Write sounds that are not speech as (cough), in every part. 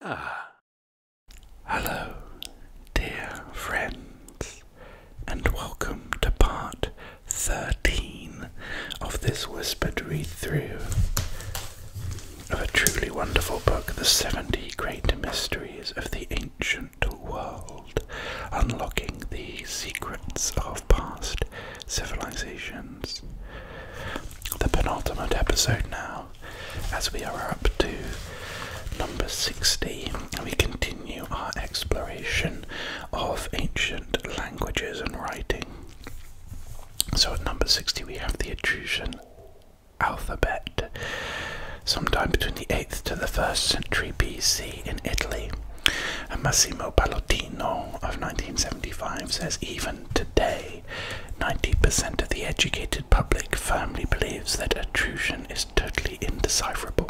Ah. Hello, dear friends, and welcome to part 13 of this whispered read through of a truly wonderful book, The 70 Great Mysteries of the Ancient World, Unlocking the Secrets of Past civilizations. The penultimate episode now, as we are up to number 60, we continue our exploration of ancient languages and writing. So at number 60, we have the Etruscan alphabet, sometime between the 8th to the 1st century BC in Italy. And Massimo Pallottino of 1975 says even today 90% of the educated public firmly believes that attrition is totally indecipherable.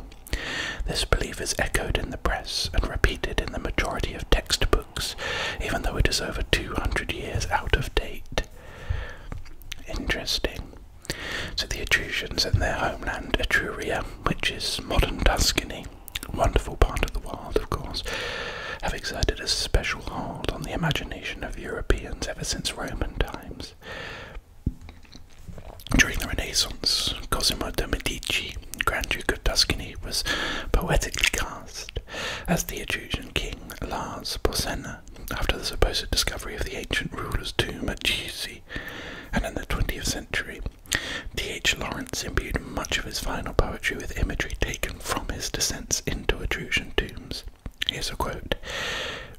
This belief is echoed in the press and repeated in the majority of textbooks, even though it is over 200 years out of date. Interesting. So the Etruscans and their homeland Etruria, which is modern Tuscany, wonderful part of the world, of course, have exerted a special hold on the imagination of Europeans ever since Roman times. During the Renaissance, Cosimo de' Medici, Grand Duke of Tuscany, was poetically cast as the Etruscan king Lars Porsena after the supposed discovery of the ancient ruler's tomb at Giusi, and in the 20th century, T. H. Lawrence Florence imbued much of his final poetry with imagery taken from his descents into Etruscan tombs. Here's a quote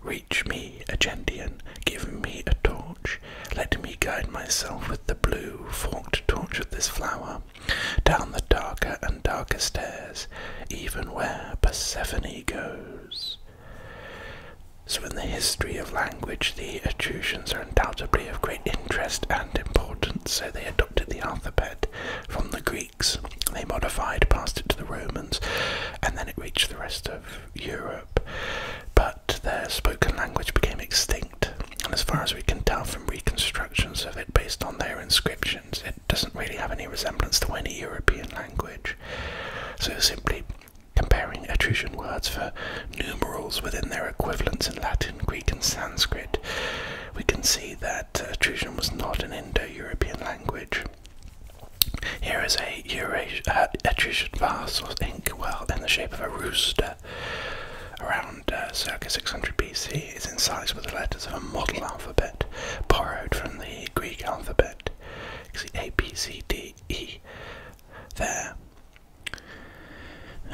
Reach me, Agendian, give me a torch, let me guide myself with the blue forked torch of this flower, down the darker and darker stairs, even where Persephone goes. So, in the history of language, the Etruscans are undoubtedly of great interest and importance, so they had to the alphabet from the Greeks. They modified, passed it to the Romans, and then it reached the rest of Europe. But their spoken language became extinct, and as far as we can tell from reconstructions of it based on their inscriptions, it doesn't really have any resemblance to any European language. So simply comparing Etruscan words for numerals within their equivalents in Latin, Greek, and Sanskrit, we can see that Etruscan uh, was not an Indo European language. Here is a Etruscan uh, vase or inkwell in the shape of a rooster around uh, circa 600 BC. It's inscribed with the letters of a model alphabet borrowed from the Greek alphabet. You can see A, B, C, D, E there.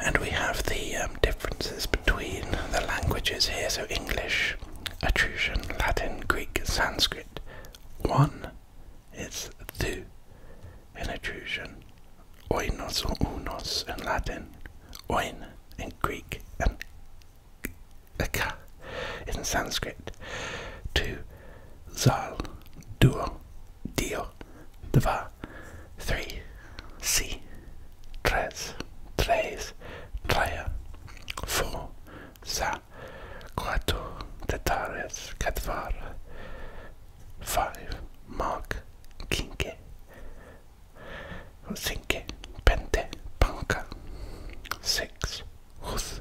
And we have the um, differences between the languages here, so English, Etruscan, Latin, Greek, Sanskrit. One is thu in Etruscan, oinos or unos in Latin, oin in Greek, and eka in Sanskrit. Two, zal, duo, dio, dva, three, c tres, tres, traya, forza, quattro, tetares, catvar, five, mark, quinque, cinque, pente, panca, six, hus,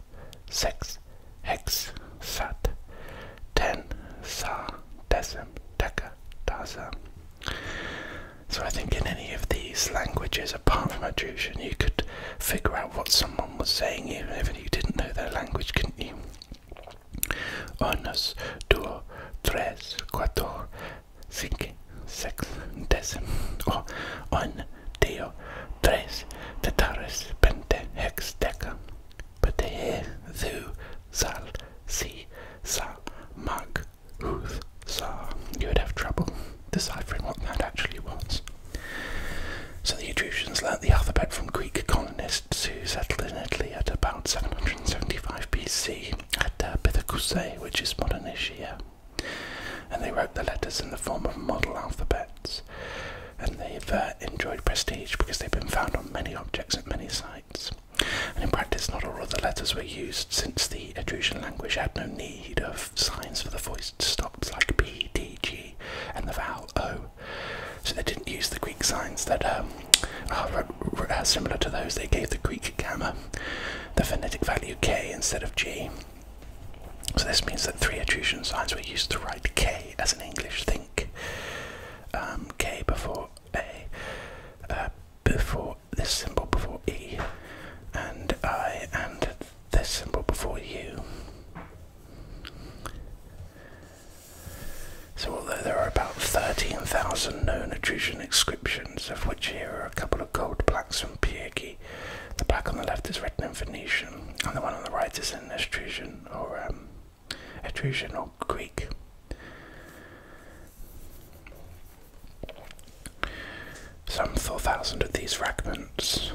sex, hex, sat, ten, sa, decim, deca, daza. So I think in any of these languages, apart from Etruscan, you could figure out what someone was saying even if you didn't know their language, couldn't you? Unos, dos, tres, cuatro, cinco, seis, diez, or oh, un, dos, tres, tetares, pente, hex, deca, pete, thu, sal, si, sal, mag, Huth Tsar, you would have trouble deciphering what that actually was. So the Etruscans learnt the alphabet from Greek colonists who settled in Italy at about 775 BC at uh, which is modern Ischia. And they wrote the letters in the form of model alphabets. And they've uh, enjoyed prestige because they've been found on many objects at many sites. And in practice, not all of the letters were used since the Etruscan language had no need of signs for the voiced stops like P, D, G, and the vowel O. So they didn't use the Greek signs that um, are uh, uh, similar to those they gave the Greek gamma, the phonetic value K instead of G. So this means that three Etruscan signs were used to write K as an English think. Um, K before A, uh, before this symbol before E, and I and this symbol before U. So, although there are about 13,000 known Etruscan inscriptions, of which here are a couple of gold plaques from Piergi, the plaque on the left is written in Phoenician, and the one on the right is in Etruscan or um, Etruscan or Greek. Some 4,000 of these fragments,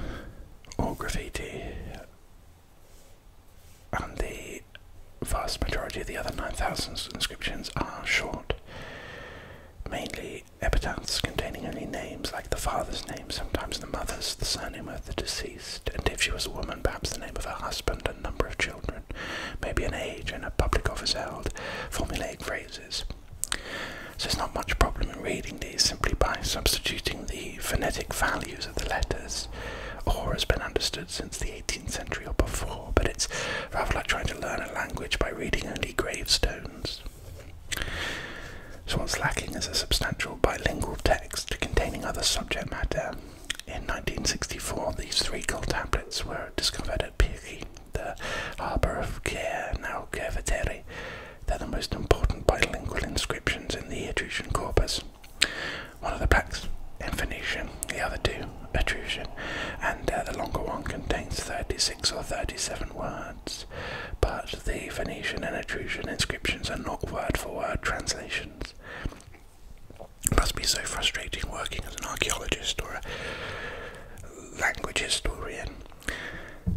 or graffiti, and the vast majority of the other 9,000 inscriptions are short, mainly epitaphs containing only names like the father's name, sometimes the mother's, the surname of the deceased, and if she was a woman, perhaps the name of her husband and number of children maybe an age and a public office held, formulating phrases. So there's not much problem in reading these simply by substituting the phonetic values of the letters, or has been understood since the 18th century or before, but it's rather like trying to learn a language by reading only gravestones. So what's lacking is a substantial bilingual text containing other subject matter. In 1964, these three gold tablets were discovered at Piri, the harbour of Caer, now Cerveteri. They're the most important bilingual inscriptions in the Etruscan corpus. One of the pacts in Phoenician, the other two Etruscan, and uh, the longer one contains 36 or 37 words. But the Phoenician and Etruscan inscriptions are not word for word translations. It must be so frustrating working as an archaeologist or a language historian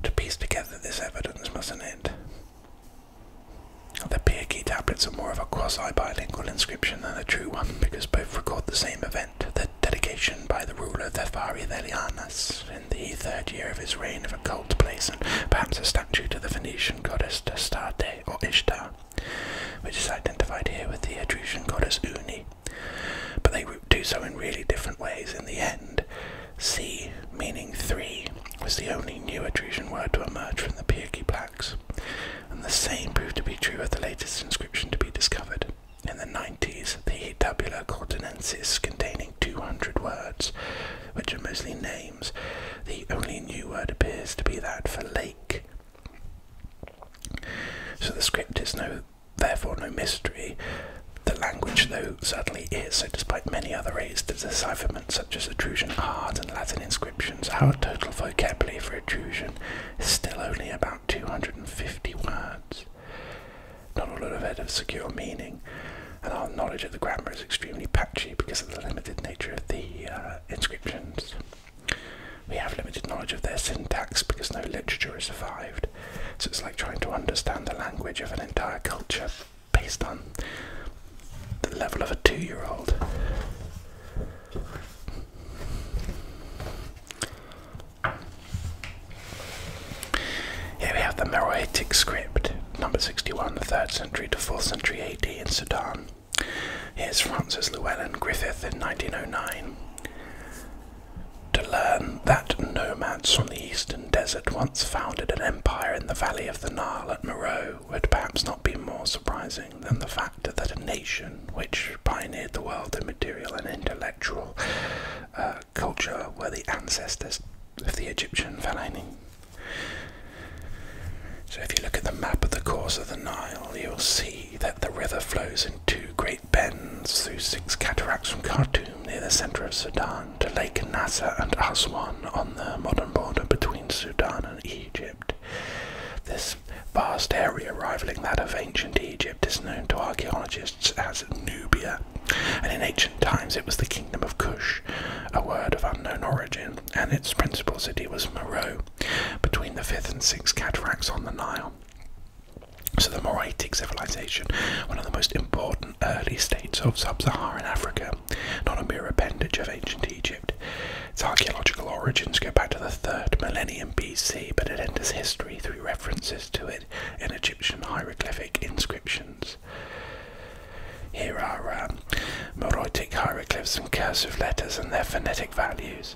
to piece together this evidence, mustn't it? The Pyrgi tablets are more of a quasi-bilingual inscription than a true one because both record the same event, the dedication by the ruler Thefariadelianus in the third year of his reign of a cult place and perhaps a statue to the Phoenician goddess Astarte or Ishtar, which is identified here with the Etruscan goddess Uni. But they do so in really different ways in the end. C, meaning three, was the only new Etruscan word to emerge from the Pyrgi plaques, and the same proved to be true of the latest inscription to be discovered. In the 90s, the Tabula Cordonensis, containing 200 words, which are mostly names, the only new word appears to be that for lake. So the script is no therefore no mystery. The language, though, certainly is, so despite many other aids to decipherment, such as Etruscan art and Latin inscriptions, our total vocabulary for Etruscan is still only about 250 words. Not all of it of secure meaning, and our knowledge of the grammar is extremely patchy because of the limited nature of the uh, inscriptions. We have limited knowledge of their syntax because no literature has survived, so it's like trying to understand the language of an entire culture based on the level of a two year old. Here we have the Meroitic script, number 61, the 3rd century to 4th century AD in Sudan. Here's Francis Llewellyn Griffith in 1909 to learn that nomads from the eastern desert once founded an empire in the valley of the Nile at Moreau would perhaps not be more surprising than the fact that a nation which pioneered the world in material and intellectual uh, culture were the ancestors of the Egyptian pharaoh. So if you look at the map of the course of the Nile, you'll see that the river flows in two great bends through six cataracts from Khartoum near the centre of Sudan to Lake Nasser and Aswan on the modern border between Sudan and Egypt. This vast area rivaling that of ancient Egypt is known to archaeologists as Nubia, and in ancient times it was the kingdom of Kush, a word of unknown origin, and its principal city was Meroe, between the fifth and sixth cataracts on the Nile. So the Moraitic civilization, one of the most important early states of sub-Saharan Africa, not a mere appendage of ancient Egypt. Its archaeological origins go back to the third millennium BC, but it enters history through references to it in Egyptian hieroglyphic inscriptions. Here are um, hieroglyphs and cursive letters and their phonetic values.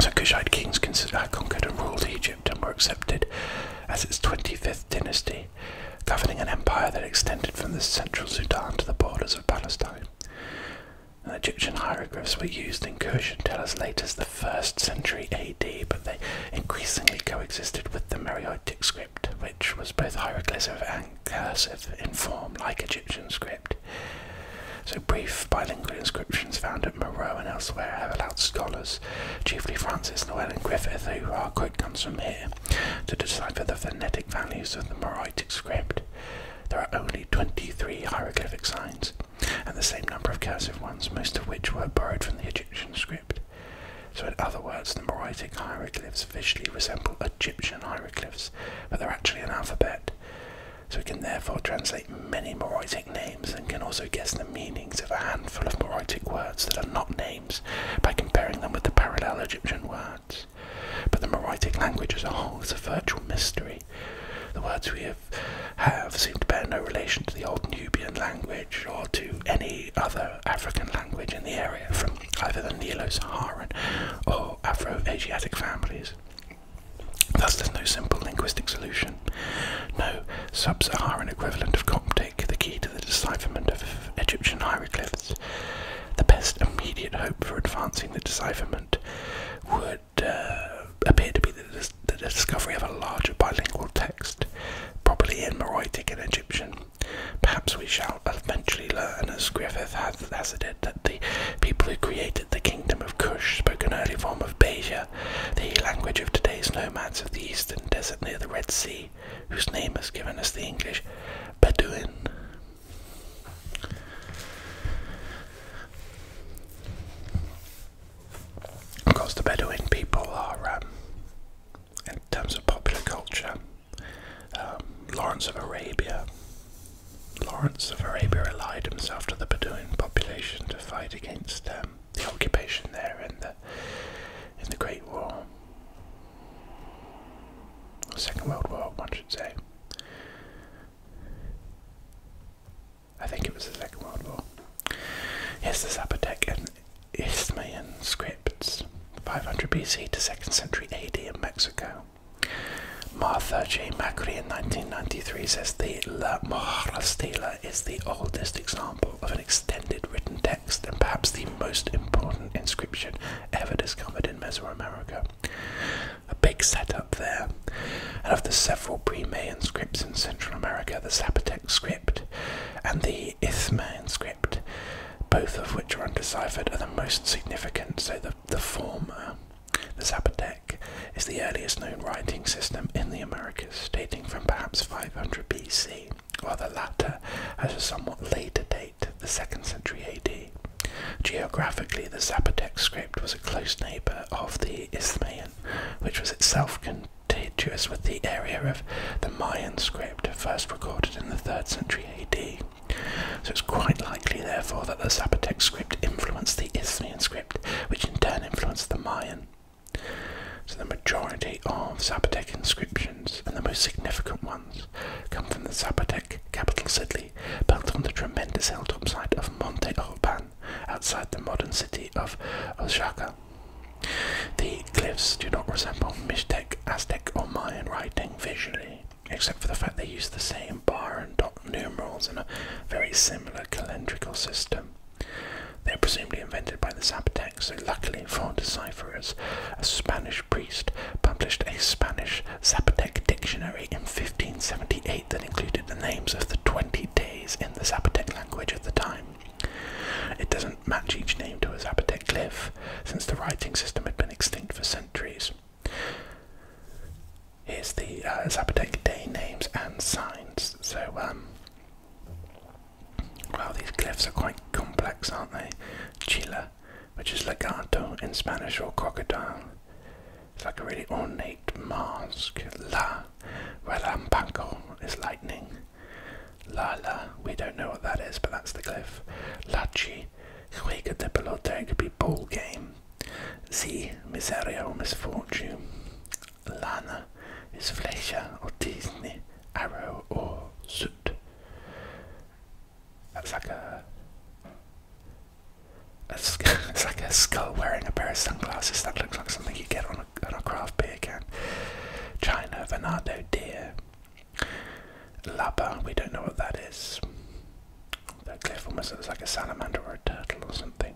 So Kushite kings uh, conquered and ruled Egypt and were accepted as its 25th dynasty, governing an empire that extended from the central Sudan to the borders of Palestine. Egyptian hieroglyphs were used in Kush until as late as the 1st century AD, but they increasingly coexisted with the Meroitic script, which was both hieroglyphic and cursive in form, like Egyptian script. So brief bilingual inscriptions found at Moreau and elsewhere have allowed scholars, chiefly Francis Llewellyn Griffith, who are quote comes from here, to decipher the phonetic values of the Moraitic script. There are only 23 hieroglyphic signs, and the same number of cursive ones, most of which were borrowed from the Egyptian script. So, in other words, the Moraitic hieroglyphs visually resemble Egyptian hieroglyphs, but they're actually an alphabet so we can therefore translate many Moraitic names and can also guess the meanings of a handful of Moraitic words that are not names by comparing them with the parallel Egyptian words. But the Moraitic language as a whole is a virtual mystery. The words we have, have seem to bear no relation to the old Nubian language or to any other African language in the area from either the Nilo Saharan or Afro Asiatic families. Thus, there's no simple linguistic solution. No sub Saharan equivalent of Coptic, the key to the decipherment of Egyptian hieroglyphs. The best immediate hope for advancing the decipherment would uh, appear to be the, discovery of a larger bilingual text, probably in Meroitic and Egyptian. Perhaps we shall eventually learn, as Griffith has, has that the people who created the kingdom of Kush spoke an early form of Beja, the language of today's nomads of the eastern desert near the Red Sea, whose name has given us the English Bedouin. Of course, the Bedouin people are, um, in terms of popular culture, um, Lawrence of Arabia, Lawrence of Arabia allied himself to the Bedouin population to fight against um, the occupation there in the in the Great War, Second World War, one should say. I think it was the Second World War. Here's the Zapotec and Isthmian scripts, 500 BC to 2nd century AD in Mexico. Martha J. Macri in 1993 says the La Maharastela is the oldest example of an extended written text and perhaps the most important inscription ever discovered in Mesoamerica. A big setup there. And of the several pre-Mayan scripts in Central America, the Zapotec script and the Ithman script, both of which are undeciphered, are the most significant, so the, the former the Zapotec is the earliest known writing system in the Americas, dating from perhaps 500 BC, while the latter has a somewhat later date, the 2nd century AD. Geographically, the Zapotec script was a close neighbour of the Isthmian, which was itself contiguous with the area of the Mayan script, first recorded in the 3rd century AD. So it's quite likely, therefore, that the Zapotec script influenced the Isthmian script which in turn influenced the Mayan. So the majority of Zapotec inscriptions, and the most significant ones, come from the Zapotec capital city, built on the tremendous hilltop site of Monte Alban, outside the modern city of Oaxaca. The glyphs do not resemble Mixtec, Aztec, or Mayan writing visually, except for the fact they use the same bar and dot numerals in a very similar calendrical system. They are presumably invented by the Zapotec. so luckily for decipherers, a Spanish priest published a Spanish Zapotec dictionary in 1578 that included the names of the 20 days in the Zapotec language at the time. It doesn't match each name to a Zapotec glyph, since the writing system had been extinct for centuries. Here's the uh, Zapotec day names and signs. So, um, well, these glyphs are quite complex, aren't they? Chila, which is legato in Spanish or crocodile. It's like a really ornate mask. La, relampanco is lightning. La la, we don't know what that is, but that's the glyph. Lachi, juega de pelota, it could be ball game. Z. Miseria or misfortune. Lana is flecha or Disney arrow or suit. That's like a, a (laughs) like a skull wearing a pair of sunglasses. That looks like something you get on a, on a craft beer can. China, Venado, deer. Laba, we don't know what that is. That cliff almost looks like a salamander or a turtle or something.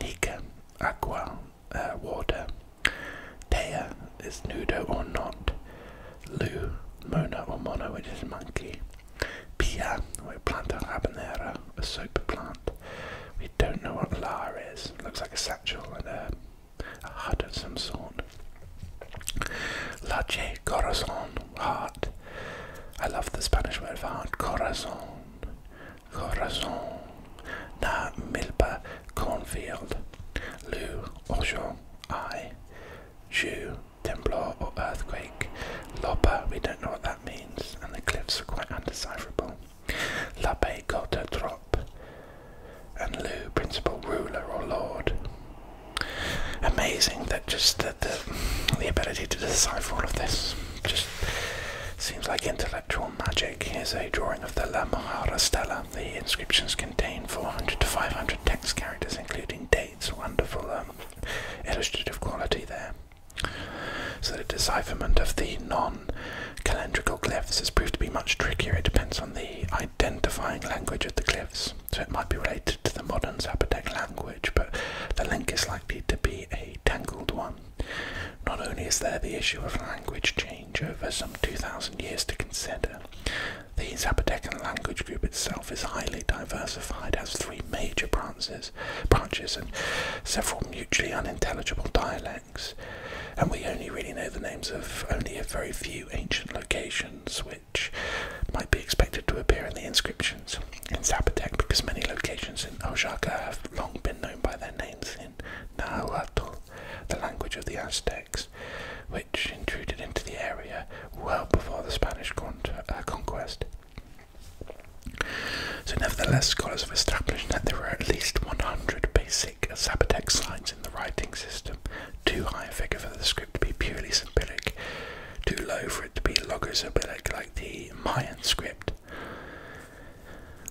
Nica, Aqua, uh, Water. Dea is Nudo or not. Lu, Mona or Mono, which is monkey. Pia, we plant a habanera, a super plant. We don't know what La is. Looks like a satchel and a, hut of some sort. Lache, corazon, heart. I love the Spanish word for heart, corazon. Corazon, Na Milpa Cornfield, Lou Ojo, I, Jew, Temblor or Earthquake, Lopa, we don't know what that means, and the cliffs are quite undecipherable. Lape Gota Trop, and Lu, Principal Ruler or Lord. Amazing that just the, the ability to decipher all of this just seems like intellectual magic. Here's a drawing of the La Mojara Stella. The inscriptions contain 400 to 500 text characters, including dates. Wonderful um, illustrative quality there. So the decipherment of the non-calendrical glyphs has proved to be much trickier. It depends on the identifying language of the glyphs, so it might be related to the modern Zapotec language, but the link is likely to be a tangled one. Not only is there the issue of language change over some 2,000 years to consider, the Zapotecan language group itself is highly diversified, has three major branches, branches and several mutually unintelligible dialects, and we only really know the names of only a very few ancient locations which might be expected to appear in the inscriptions in Zapotec because many locations in Oaxaca have long been known by their names in Nahuatl, the language of the Aztecs, which intruded into the area well before the Spanish con uh, conquest. So, nevertheless, scholars have established that there were at least 100 basic Zapotec signs in the writing system, too high a figure for the script to be purely syllabic; too low for it to be logographic like the Mayan script,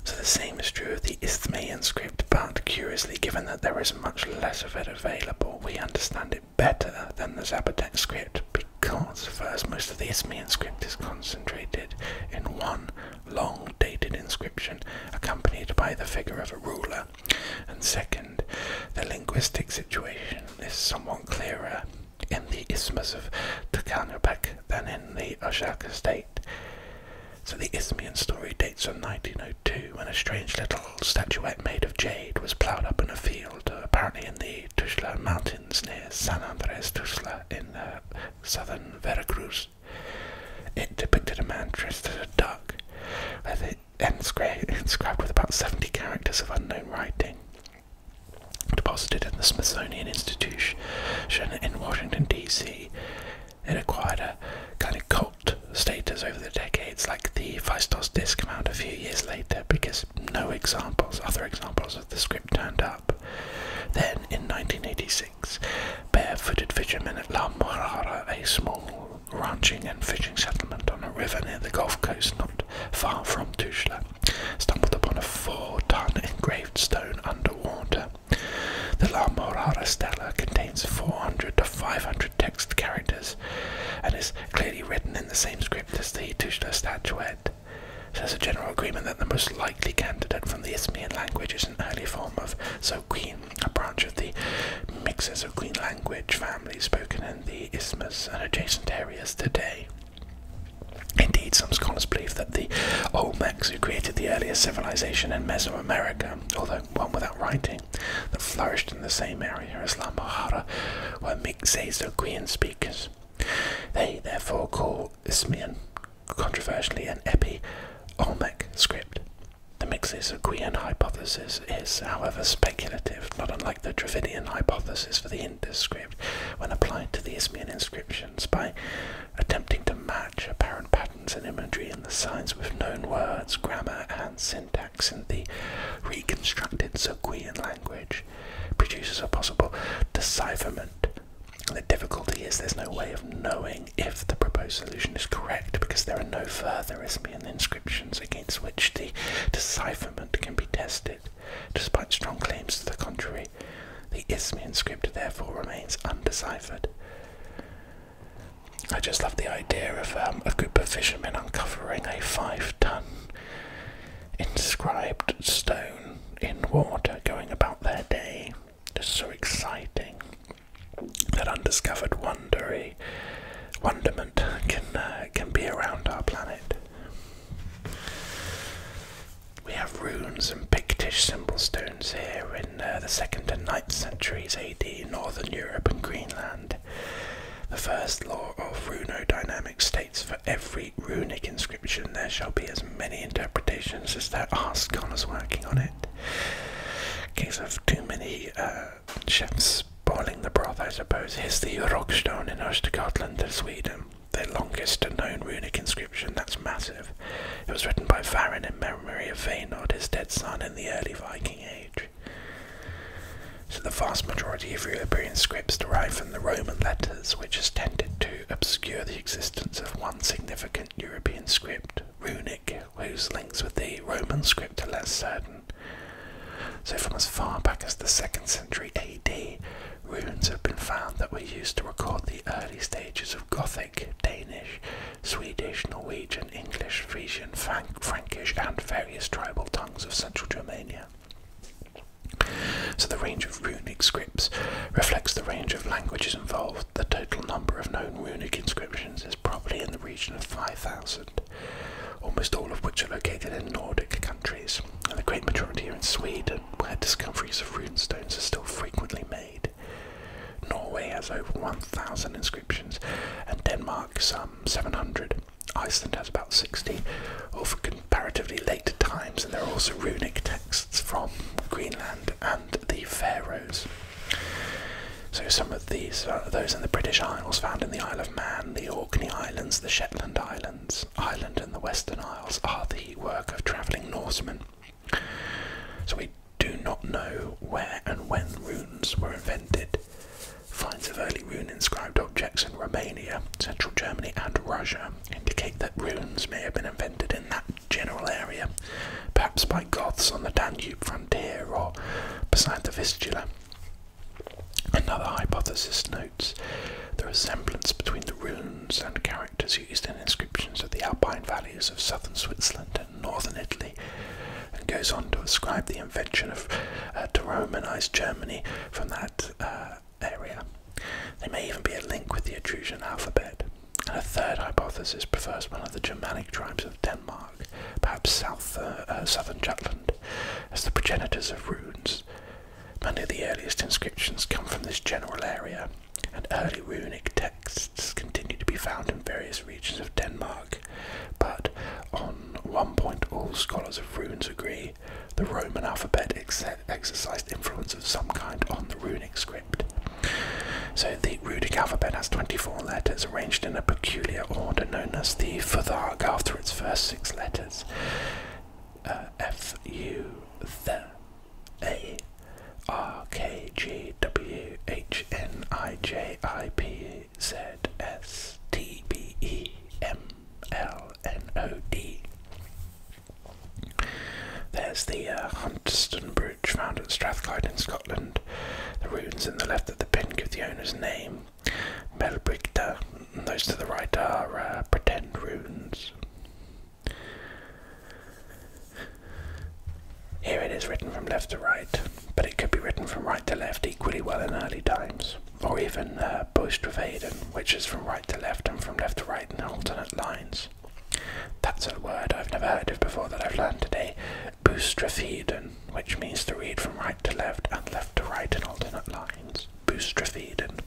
so the same is true of the Isthmian script, but curiously, given that there is much less of it available, we understand it better than the Zapotec script because first most of the Isthmian script is concentrated in one long dated inscription accompanied by the figure of a ruler, and second, the linguistic situation is somewhat clearer in the Isthmus of Tikanabek than in the Oshaka state. So the Isthmian story dates from 1902 when a strange little statuette made of jade was ploughed up in a field, apparently in the Tuzla Mountains near San Andres Tuzla in uh, southern Veracruz. It depicted a man dressed as a duck, with it inscribed with about 70 characters of unknown writing deposited in the Smithsonian Institution in Washington, D.C. It acquired a kind of cult status over the decades, like the Feistos disc came out a few years later because no examples, other examples of the script turned up. Then, in 1986, barefooted fishermen at La Morara, a small ranching and fishing settlement on a river near the Gulf Coast not far from Tuzla, stumbled upon a four-ton engraved stone underwater. The La Morara Stella contains 400 to 500 text characters and is clearly written in the same script as the Tushla statuette. There's a general agreement that the most likely candidate from the Isthmian language is an early form of Zoquin, a branch of the Mixozoquin language family spoken in the Isthmus and adjacent areas today. Indeed, some scholars believe that the Olmecs, who created the earliest civilization in Mesoamerica, although one without writing, that flourished in the same area as Lambohara, were Mixezoguian speakers. They therefore call Ismian, controversially, an epi Olmec script. The Mixezoguian hypothesis is, however, speculative, not unlike the Dravidian hypothesis for the Indic script when applied to the Ismian inscription by attempting to match apparent patterns and imagery in the signs with known words, grammar, and syntax in the reconstructed Zoguian language produces a possible decipherment. The difficulty is there's no way of knowing if the proposed solution is correct because there are no further Isthmian inscriptions against which the decipherment can be tested. Despite strong claims to the contrary, the Isthmian script therefore remains undeciphered. I just love the idea of um, a group of fishermen uncovering a five ton inscribed stone in water going about their day. Just so exciting. That undiscovered wondery, wonderment can, uh, can be around our planet. We have runes and Pictish symbol stones here in uh, the 2nd and 9th centuries AD, Northern Europe and Greenland. The first law of Runo runodynamics states for every runic inscription there shall be as many interpretations as there are scholars working on it. Case of too many uh, chefs spoiling the broth, I suppose. Here's the Rockstone in Östergötland Sweden the longest known runic inscription, that's massive. It was written by Varin in memory of Vaynod, his dead son, in the early Viking Age. So the vast majority of European scripts derive from the Roman letters, which has tended to obscure the existence of one significant European script, runic, whose links with the Roman script are less certain. So, from as far back as the 2nd century AD, Runes have been found that were used to record the early stages of Gothic, Danish, Swedish, Norwegian, English, Frisian, Frankish, and various tribal tongues of central Germany. So the range of runic scripts reflects the range of languages involved. The total number of known runic inscriptions is probably in the region of 5,000, almost all of which are located in Nordic countries, and the great majority are in Sweden where discoveries of runestones are still frequently made. Norway has over 1,000 inscriptions, and Denmark some 700. Iceland has about 60, all for comparatively later times, and there are also runic texts from Greenland and the Faroes. So some of these, uh, those in the British Isles, found in the Isle of Man, the Orkney Islands, the Shetland Islands islands, Ireland and the Western Isles, are the work of travelling Norsemen. So we do not know where and when runes were invented. Finds of early rune inscribed objects in Romania, central Germany, and Russia indicate that runes may have been invented in that general area, perhaps by Goths on the Danube frontier or beside the Vistula. Another hypothesis notes the resemblance between the runes and characters used in inscriptions of the Alpine valleys of southern Switzerland and northern Italy, and goes on to ascribe the invention of uh, to Romanize Germany from that uh, area. There may even be a link with the Etruscan alphabet. And a third hypothesis prefers one of the Germanic tribes of Denmark, perhaps south, uh, southern Jutland, as the progenitors of runes. Many of the earliest inscriptions come from this general area, and early runic texts continue to be found in various regions of Denmark. But on one point, all scholars of runes agree the Roman alphabet exercised influence of some kind on the runic script. So the runic alphabet has 24 letters arranged in a peculiar order known as the futhark after its first six letters. Uh, F U Th a R K G W H N I J I P Z S T B E M L N O D. There's the uh, Hunterston Bridge found at Strathclyde in Scotland. The runes in the left of the pin give the owner's name. Melbrigta, those to the right are uh, pretend runes. Here it is written from left to right, but it could be written from right to left equally well in early times, or even uh, which is from right to left and from left to right in alternate lines. That's a word I've never heard of before that I've learned today, Boistrevaden, which means to read from right to left and left to right in alternate lines. Boostrephedon.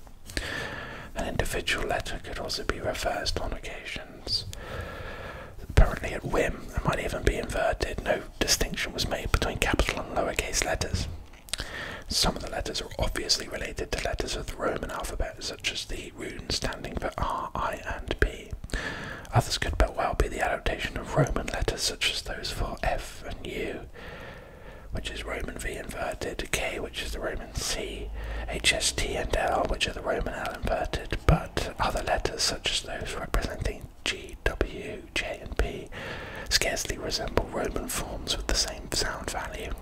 An individual letter could also be reversed on occasions. Apparently, at whim, it might even be inverted. No distinction was made between capital and lowercase letters. Some of the letters are obviously related to letters of the Roman alphabet, such as the rune standing for R, I, and P. Others could but well be the adaptation of Roman letters, such as those for F and U which is Roman V inverted, K, which is the Roman C, HST and L, which are the Roman L inverted, but other letters such as those representing G, W, J, and P scarcely resemble Roman forms with the same sound value.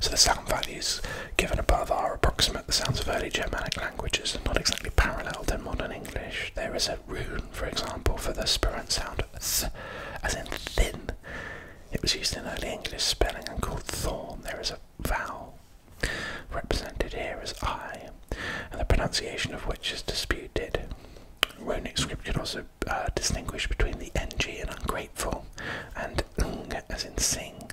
So the sound values given above are approximate the sounds of early Germanic languages are not exactly parallel to modern English. There is a rune, for example, for the spirant sound th, as in thin, it was used in early English spelling and called thorn. There is a vowel represented here as I, and the pronunciation of which is disputed. Runic script could also uh, distinguish between the ng and ungrateful and ng as in sing.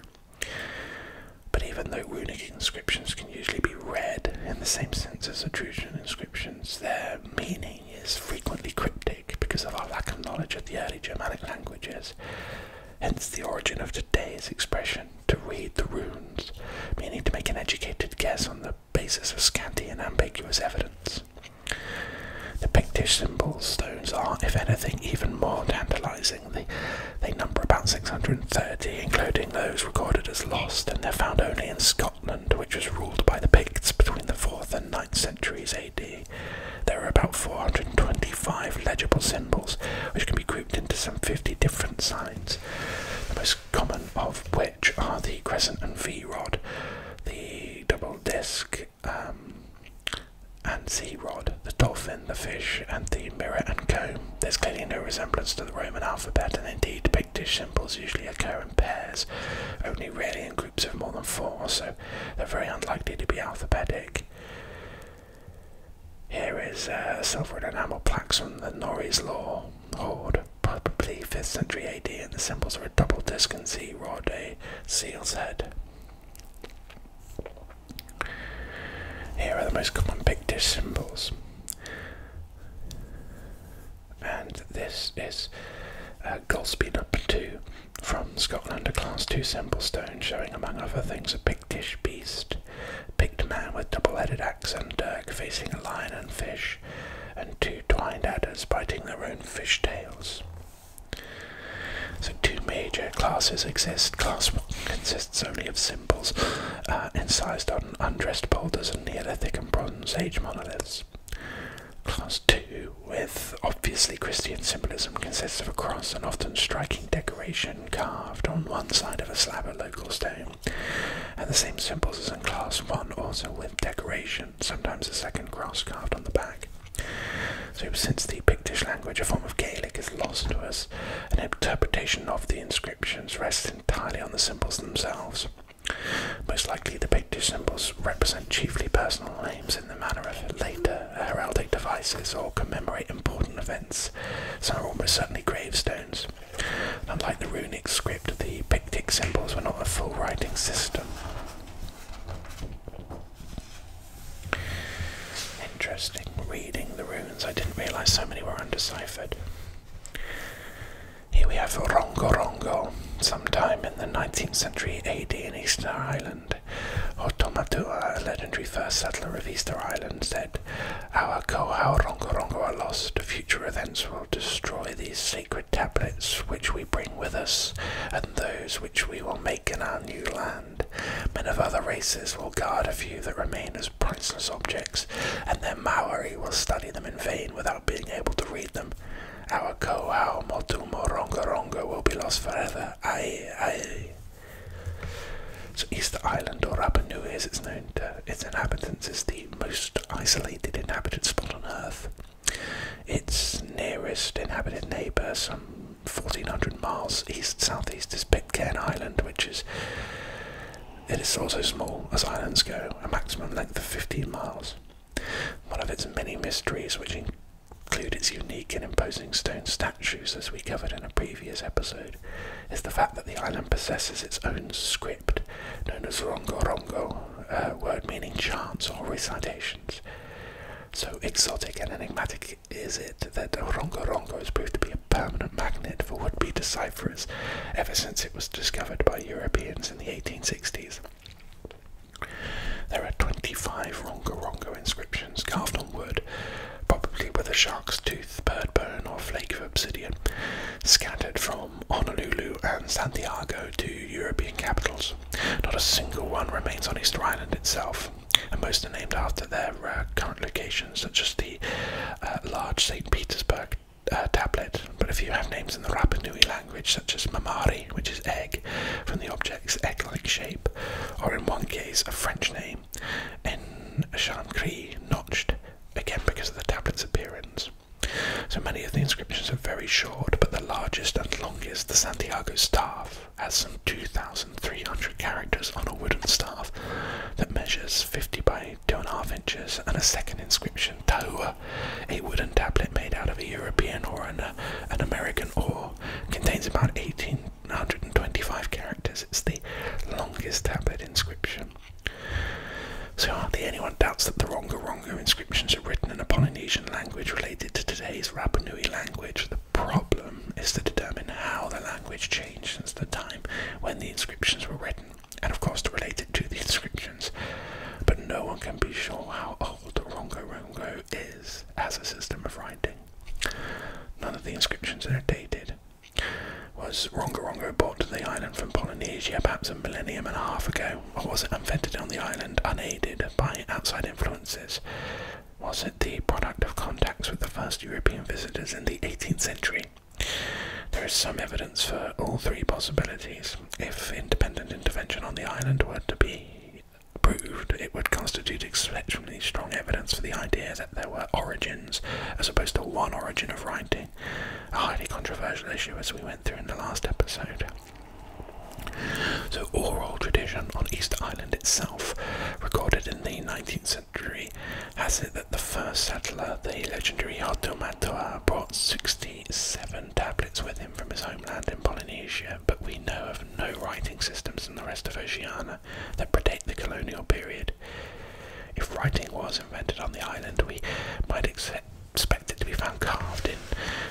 But even though runic inscriptions can usually be read in the same sense as Etruscan inscriptions, their meaning is frequently cryptic because of our lack of knowledge of the early Germanic languages, hence the origin of today's expression to read the runes, meaning to make an educated guess on the basis of scanty and ambiguous evidence. The Pictish symbol stones are, if anything, even more tantalizing. they number about 630, including those recorded as lost, and they're found only in Scotland, which was ruled by the Picts between the 4th and 9th centuries AD there are about 425 legible symbols, which can be grouped into some 50 different signs, the most common of which are the crescent and V rod, the double disc um, and Z rod, the dolphin, the fish, and the mirror and comb. There's clearly no resemblance to the Roman alphabet, and indeed, Pictish symbols usually occur in pairs, only rarely in groups of more than four, or so they're very unlikely to be alphabetic. Here is uh, silver enamel plaque from the Norris Law hoard, probably 5th century AD, and the symbols are a double disc and Z rod, a seal's head. Here are the most common pictish symbols. And this is uh, Goldspeed number two. From Scotland, a class 2 simple stones showing, among other things, a pictish beast, Pict man with double headed axe and dirk facing a lion and fish, and two twined adders biting their own fish tails. So, two major classes exist. Class 1 consists only of symbols uh, incised on undressed boulders and Neolithic and Bronze Age monoliths. Class 2, with obviously Christian symbolism, consists of a cross and often striking decoration carved on one side of a slab of local stone, and the same symbols as in Class 1, also with decoration, sometimes a second cross carved on the back. So, since the Pictish language, a form of Gaelic, is lost to us, an interpretation of the inscriptions rests entirely on the symbols themselves. Most likely, the Pictish symbols represent chiefly personal names in the manner of later heraldic devices or commemorate important events, some are almost certainly gravestones. unlike the runic script, the Pictic symbols were not a full writing system. Interesting reading the runes, I didn't realise so many were undeciphered. Here we have Rongo Rongorongo, sometime in the 19th century AD in Eastern Ireland. Island. a legendary first settler of Easter Island, said, Our Kohaorongorongo are lost. Future events will destroy these sacred tablets which we bring with us, and those which we will make in our new land. Men of other races will guard a few that remain as priceless objects, and their Maori will study them in vain without being able to read them. Our Koao Motumo Ronga Ronga will be lost forever. Aye, aye. So Easter Island or Rapa Nui as it's known to its inhabitants is the most isolated inhabited spot on Earth. Its nearest inhabited neighbour, some 1400 miles east southeast, is Pitcairn Island, which is it is also small as islands go, a maximum length of 15 miles. One of its many mysteries, which include its unique and imposing stone statues, as we covered in a previous episode, is the fact that the island possesses its own script, known as Rongo Rongo, a word meaning chants or recitations. So exotic and enigmatic is it that Rongo Rongo has proved to be a permanent magnet for would be decipherers ever since it was discovered by Europeans in the 1860s. There are 25 Rongo Rongo inscriptions carved on wood, probably with a shark's tooth, bird bone, or flake of obsidian, scattered from Honolulu and Santiago to European capitals. Not a single one remains on Easter Island itself, and most are named after their uh, current locations, such as the uh, large St. Petersburg uh, tablet. But a few have names in the Rapa Nui language, such as mamari, which is egg, from the object's egg like shape, or in one case, a French name, en chancre, notched, again because of the tablet's appearance. So many of the inscriptions are very short, but the largest and longest, the Santiago staff, has some 2,300 characters on a wooden staff that measures 50 by 2.5 inches, and a second inscription, Tahua, a wooden tablet made out of a European or an, American oar contains about 1825 characters. It's the longest tablet inscription. So hardly anyone doubts that the Rongorongo inscriptions are written in a Polynesian language related to today's Rapa language. The problem is to determine how the language changed since the time when the inscriptions were written, and of course to relate it to the inscriptions. But no one can be sure how old old oh, Rongo Rongo is as a system of writing. None of the inscriptions are dated. Was Rongo Rongo brought to the island from Polynesia perhaps a millennium and a half ago, or was it invented on the island unaided by outside influences? Was it the product of contacts with the first European visitors in the 18th century? There is some evidence for all three possibilities. If independent intervention on the island were to be proved, it would constitute exceptionally strong evidence for the idea that there were origins, as opposed to one origin of writing, a highly controversial issue as we went through in the last episode. So, oral tradition on Easter Island itself, recorded in the 19th century, has it that the first settler, the legendary Hato Matoa, brought 67 tablets with him from his homeland in Polynesia but we know of no writing systems in the rest of Oceania that predate the colonial period. If writing was invented on the island, we might expect it to be found carved in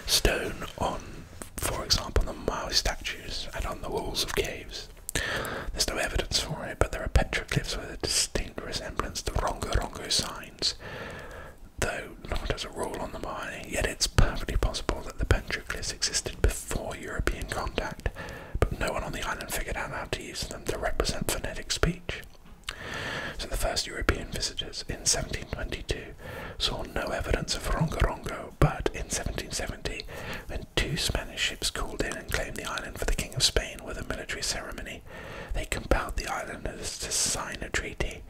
stone on, for example, the Maui statues and on the walls of caves. There's no evidence for it, but there are petroglyphs with a distinct resemblance to Rongorongo signs though not as a rule on the mind, yet it's perfectly possible that the petroglyphs existed before European contact, but no one on the island figured out how to use them to represent phonetic speech. So the first European visitors in 1722 saw no evidence of rongo. but in 1770, when two Spanish ships called in and claimed the island for the King of Spain with a military ceremony, they compelled the islanders to sign a treaty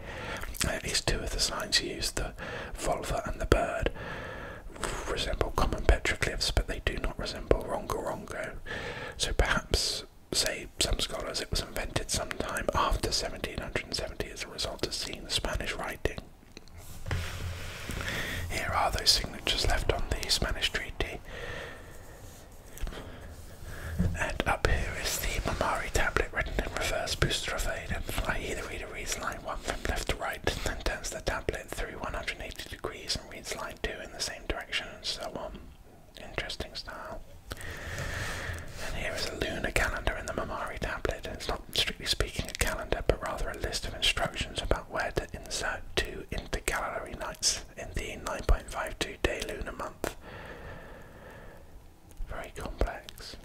at least two of the signs used, the volva and the bird, resemble common petroglyphs, but they do not resemble Rongorongo. So perhaps, say some scholars, it was invented sometime after 1770 as a result of seeing the Spanish writing. Here are those signatures left on the Spanish treaty. And up here is the Mamari tablet written in reverse, boustrophade, and either reader reads line 1 from left to right, then turns the tablet through 180 degrees and reads line 2 in the same direction and so on. Interesting style. And here is a lunar calendar in the Mamari tablet. It's not strictly speaking a calendar, but rather a list of instructions about where to insert two intercalary nights in the 9.52 day lunar month. Very complex.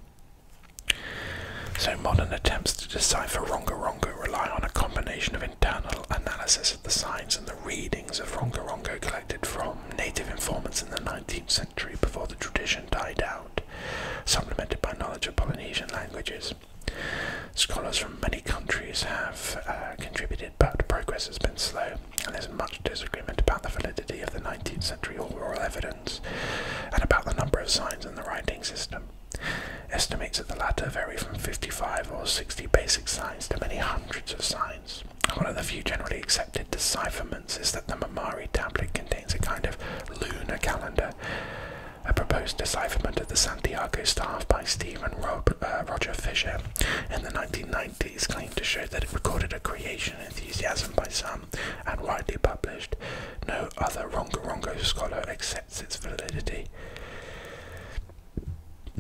So modern attempts to decipher Ronga Rongo rely on a combination of internal analysis of the signs and the readings of Ronga Rongo collected from native informants in the 19th century before the tradition died out, supplemented by knowledge of Polynesian languages. Scholars from many countries have uh, contributed, but progress has been slow, and there's much disagreement about the validity of the 19th century oral evidence and about the number of signs in the writing system. Estimates that the latter vary from 55 or 60 basic signs to many hundreds of signs. One of the few generally accepted decipherments is that the Mamari tablet contains a kind of lunar calendar. A proposed decipherment of the Santiago staff by Stephen uh, Roger Fisher in the 1990s claimed to show that it recorded a creation enthusiasm by some and widely published. No other Rongorongo scholar accepts its validity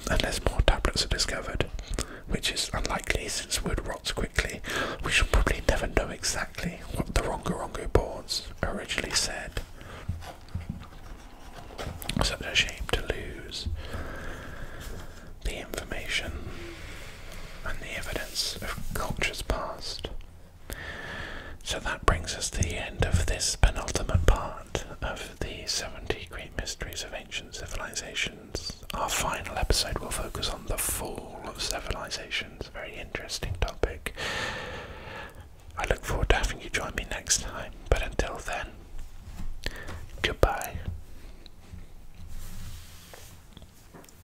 unless more tablets are discovered, which is unlikely since wood rots quickly. We shall probably never know exactly what the Rongorongo Rongo boards originally said. Such a shame to lose the information and the evidence of cultures past. So that brings us to the end of this penultimate part of the 70 Great Mysteries of Ancient Civilizations. Our final episode will focus on the fall of civilizations, a very interesting topic. I look forward to having you join me next time, but until then, goodbye.